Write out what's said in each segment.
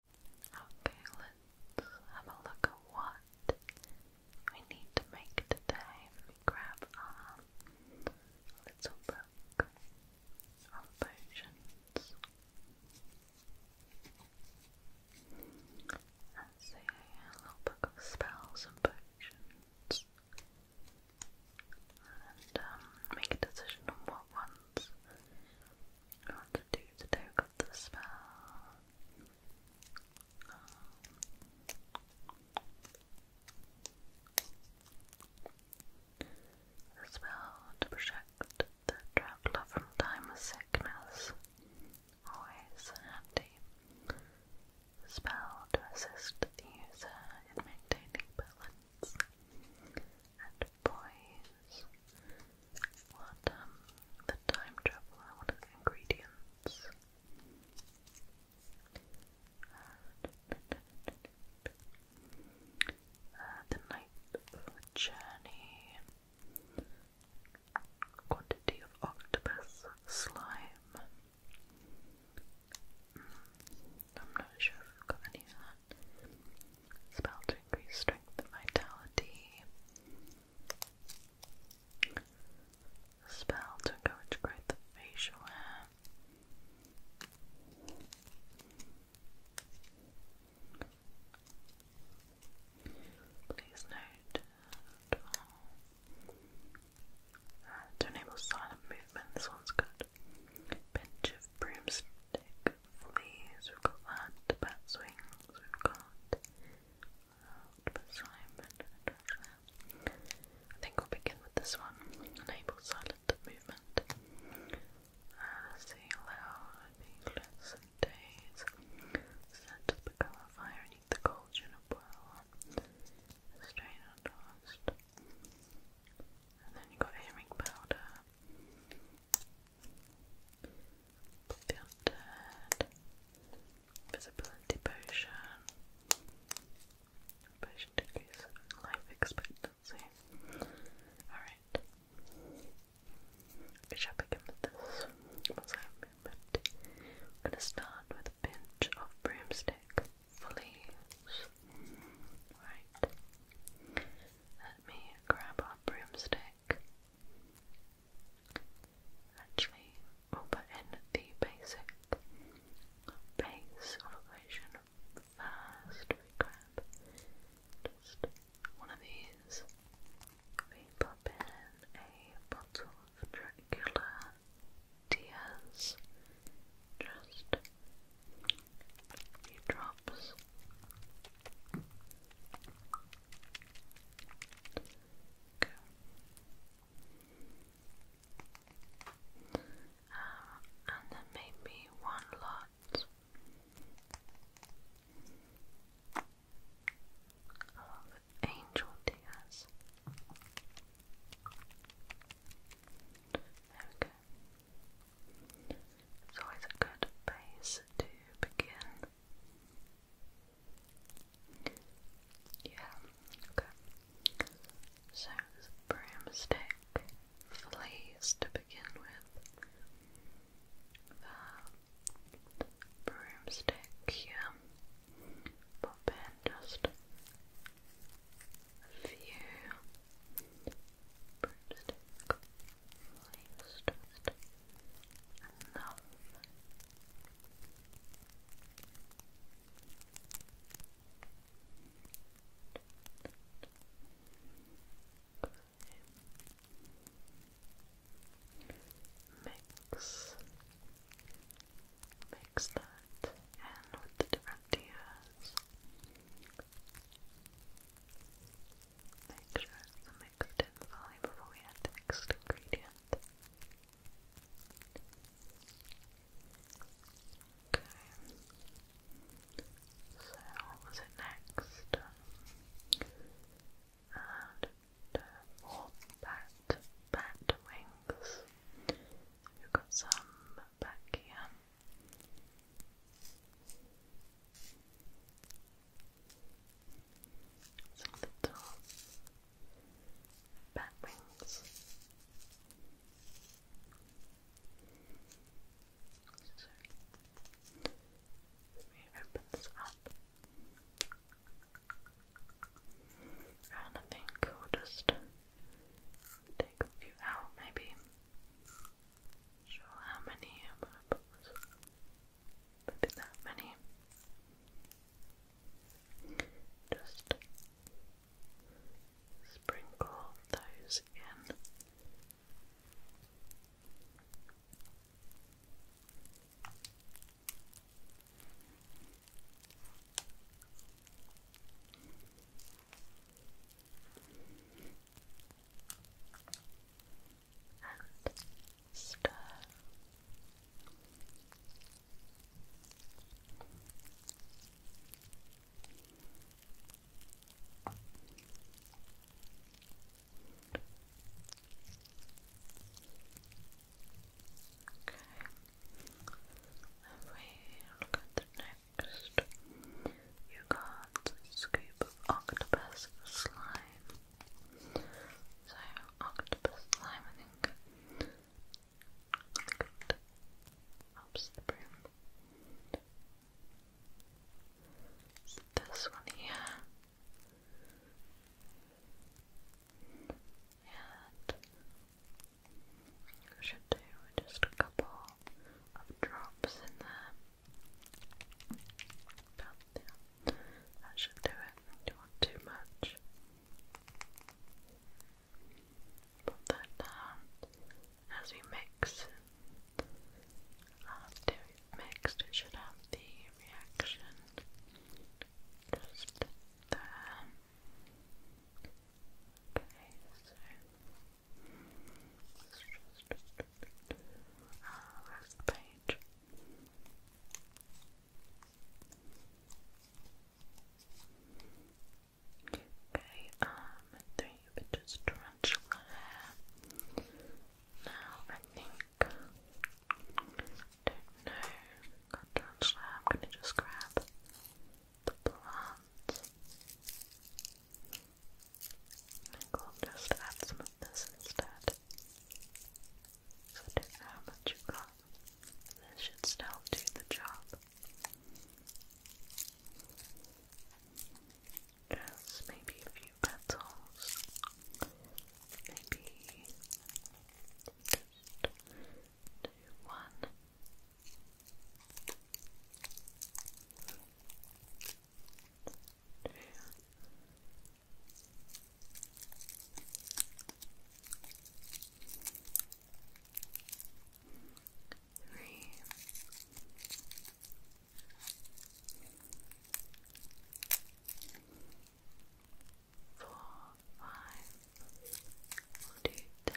Okay, let's have a look at what we need to make today. grab our little book of potions. That's a little book of spells and potions. And um, make a decision on what ones what to do to take the smell. Um, spell to protect the traveler from time sickness. Always handy. spell to assist the user in maintaining balance and poise. What, um, the time traveler, what are the ingredients? Uh, the night of the journey. Quantity of octopus slime. Hmm, I'm not sure if I've got any of that. Spell to increase strength and vitality. Spell to encourage growth of facial hair. Please note to enable silent movement, this one's good. Pinch of broomstick fleas, we've got that, swings, we've got octopus slime, I think we'll begin with this one, enable silent movement. Uh, see, allow needless days, set to become a fire and eat the cold and boil strain and toast. And then you got hearing powder. Filtered Visibility Potion Potion to increase life expectancy Alright We shall begin with this once I I'm gonna start with a pinch of broomstick for leaves let me grab our broomstick Actually, we'll put in the basic base of first. We grab just one of these. We pop in a bottle of Dracula Tears. Just a few drops Okay. Um, and then maybe one lot of angel tears. There we go. It's always a good place to begin. Yeah, okay. So broomstick, fleas to begin with. The broomstick here. Pop in just a few broomstick, leaves twisted, enough. Mix, mix that in with the different tiers. Make sure it's a mixed fully before we add the next ingredient. Okay. So what was it next? And the uh, more bat bat wings. We've got some back some little bat wings. So let me open this up. I think we'll just take a few out maybe. Sure how many Maybe that many. Just sprinkle those in and stir. Okay. If we look at the next, you got scoop of octopus slime. So, octopus slime, I think, helps the broom. So this one here. And I should do just a couple of drops in there. About there. should do it. you want too much? Put that down as we mix. After we mixed, it should have the reaction just there. Okay, so let's just last page. Okay, um, three bitches tarantula hair. Now I think, don't know, got tarantula hair. I'm gonna just grab the plant think will just add some of this instead. So I do how much you got. This should still do the job. Just maybe a few petals. Maybe just do one. Three. five, we'll do ten,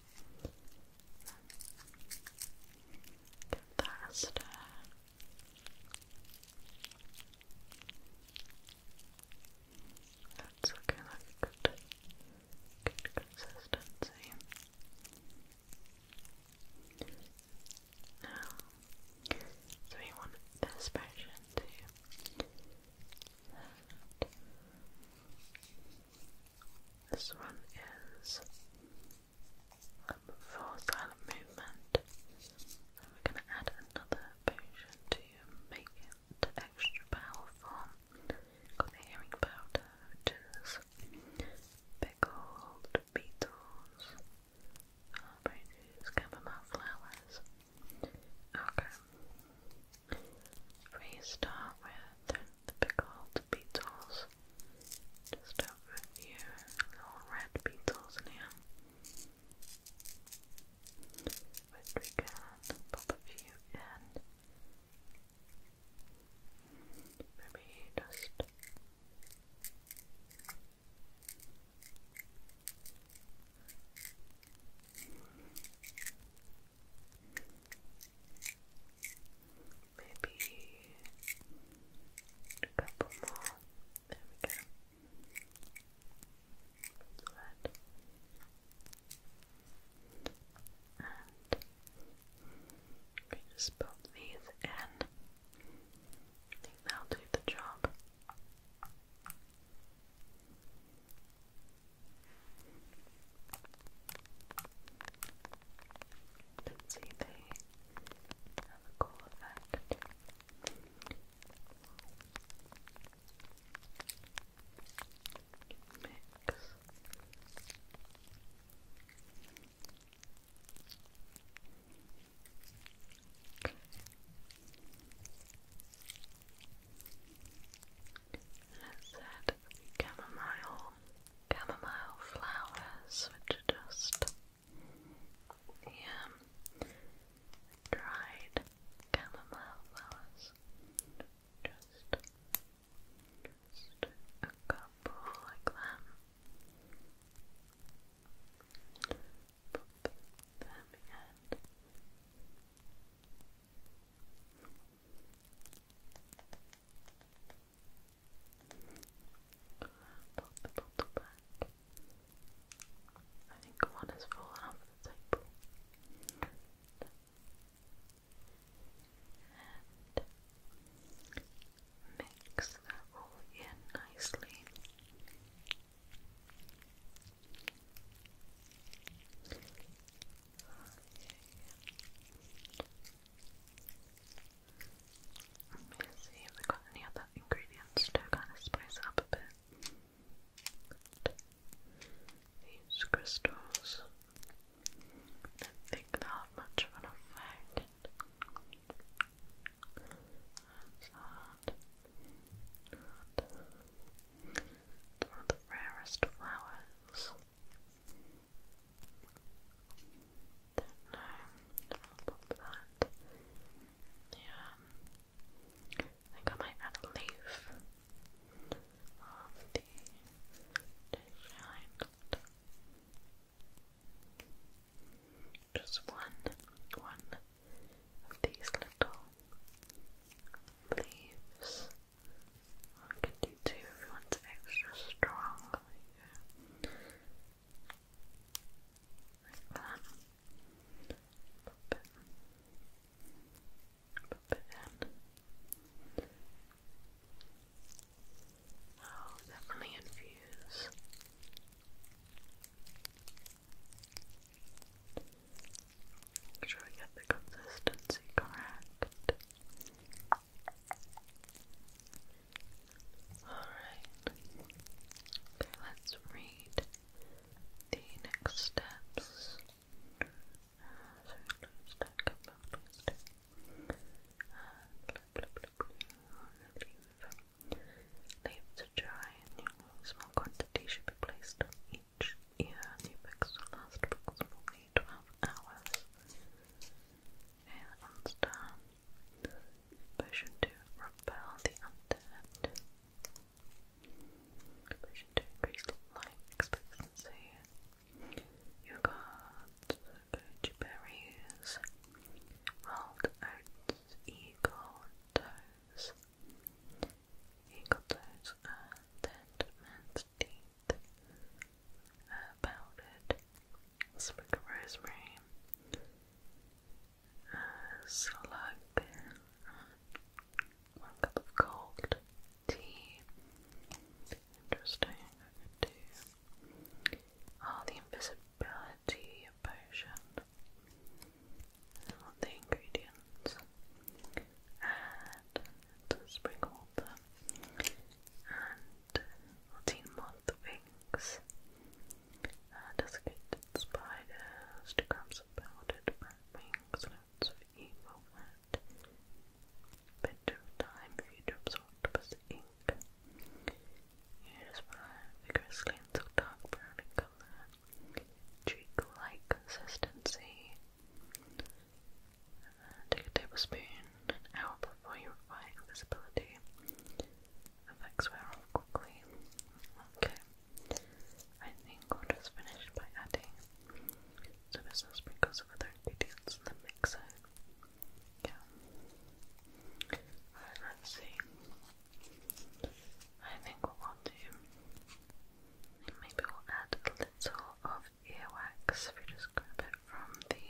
Get that That's okay, good. Good consistency. Now, so we want this version to This one is for silent movement. we're going to add another potion to make it extra powerful. Got the pickled beetles, oranges, chamomile flowers. Okay. We start with pickled beetles. Just over a few little red beetles in here. Which we can pop a few in. Maybe just maybe a couple more. There we go. And we just pop these in. I think will do the job. Let's see, they have a cool effect. Mix. Let's add the chamomile flowers, which are just the dried chamomile flowers. Just, just a couple like that. Put them in. Pop the I think one has fallen off the table. And mix that all in nicely. Let me see if we got any other ingredients to kind of spice up a bit. These crystals, I think they'll have much of an effect. That's hard. the rarest flowers. Don't i think I might add a leaf of the dish Just one, one of these little leaves. I can do two if you want extra strong. Like, that. Pop it. Pop it in. Oh, definitely infuse. Make sure we get the consistency correct. Alright. Okay, let's read the next steps. so let's stack up up list. to dry and usually small quantity should be placed on each ear. New books will last approximately 12 hours and star. Uh, potion 2, repel the undead. Potion 2, increase life expectancy. You got goji berries, rolled eagle toes, eagle toes, and then mint 16th. Uh, powdered sprig rosemary, uh, one cup of cold tea. Interesting. do. Oh, ah, the invisibility potion. I want the ingredients. And it's a spring water. And 14 month wings, uh, desiccated spiders, two crumbs of powdered rat time for you to absorb octopus ink. Here's my vigorously until dark brown colour, cheek like consistency. Take a tablespoon an hour before you require invisibility. Effects wear off quickly. Okay. I think we just finish by adding some sprinkles of other ingredients in the mixer. Yeah. let's see. I think we'll add a little of earwax if you just grab it from the,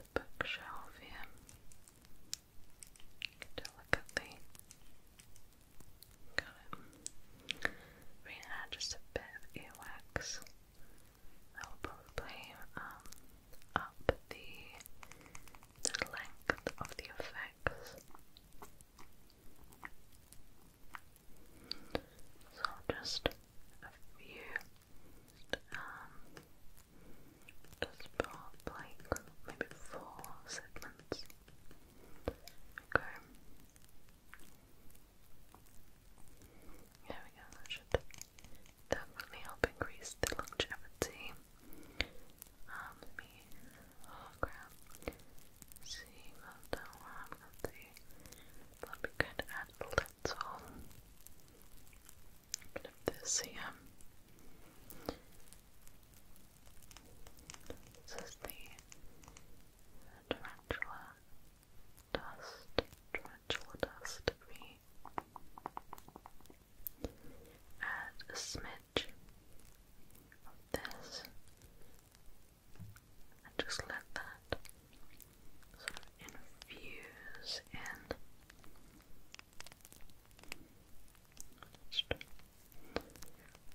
the bookshelf here. Delicately got We add just a bit of earwax. That will probably um, up the, the length of the effects. So just a few um, just about like maybe four segments. Okay. There we go, should definitely help increase the longevity. Um, me, oh crap, see, well, don't, I've got the, that'd be good, metal, that's all. A bit of this here. This is the tarantula dust, tarantula dust we add a smidge of this and just let that sort of infuse in just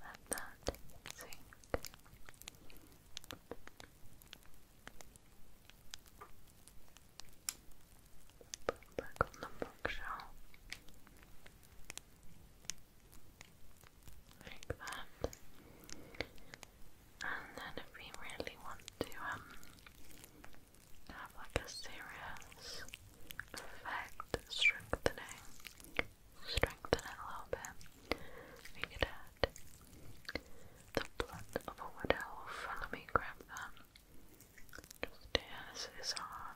let that sink put back on the bookshelf like that and then if we really want to um, have like a serious effect strengthening strengthen a little bit, we could add the blood of a wood elf. Let me grab them. Just here, is our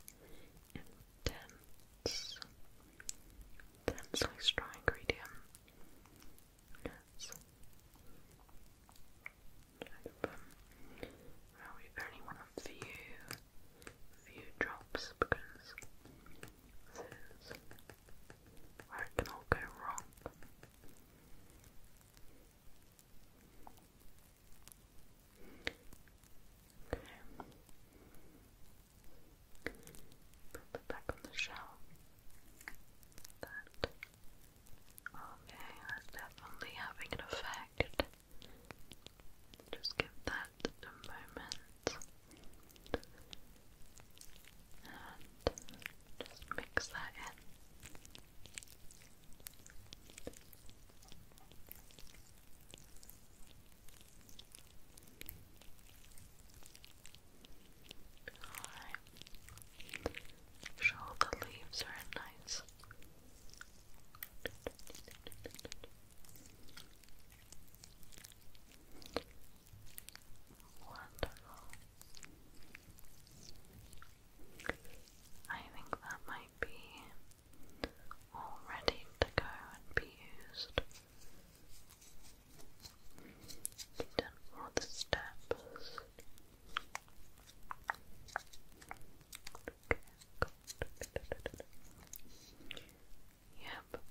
intense intensely strong ingredient minutes. Well, we only want a few, few drops because this it can all go wrong. Okay. Put it back on the shelf. That. Okay, that's definitely having an effect. Just give that a moment. And just mix that in. Alright. Sure, the leaves are nice. Wonderful. I think that might be ready to go and be used you done all the steps. Yep.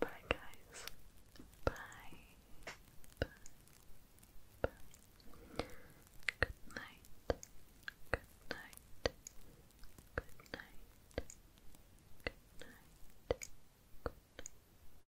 Bye, guys. Bye. Good night. Good night. Good night. Good night. Good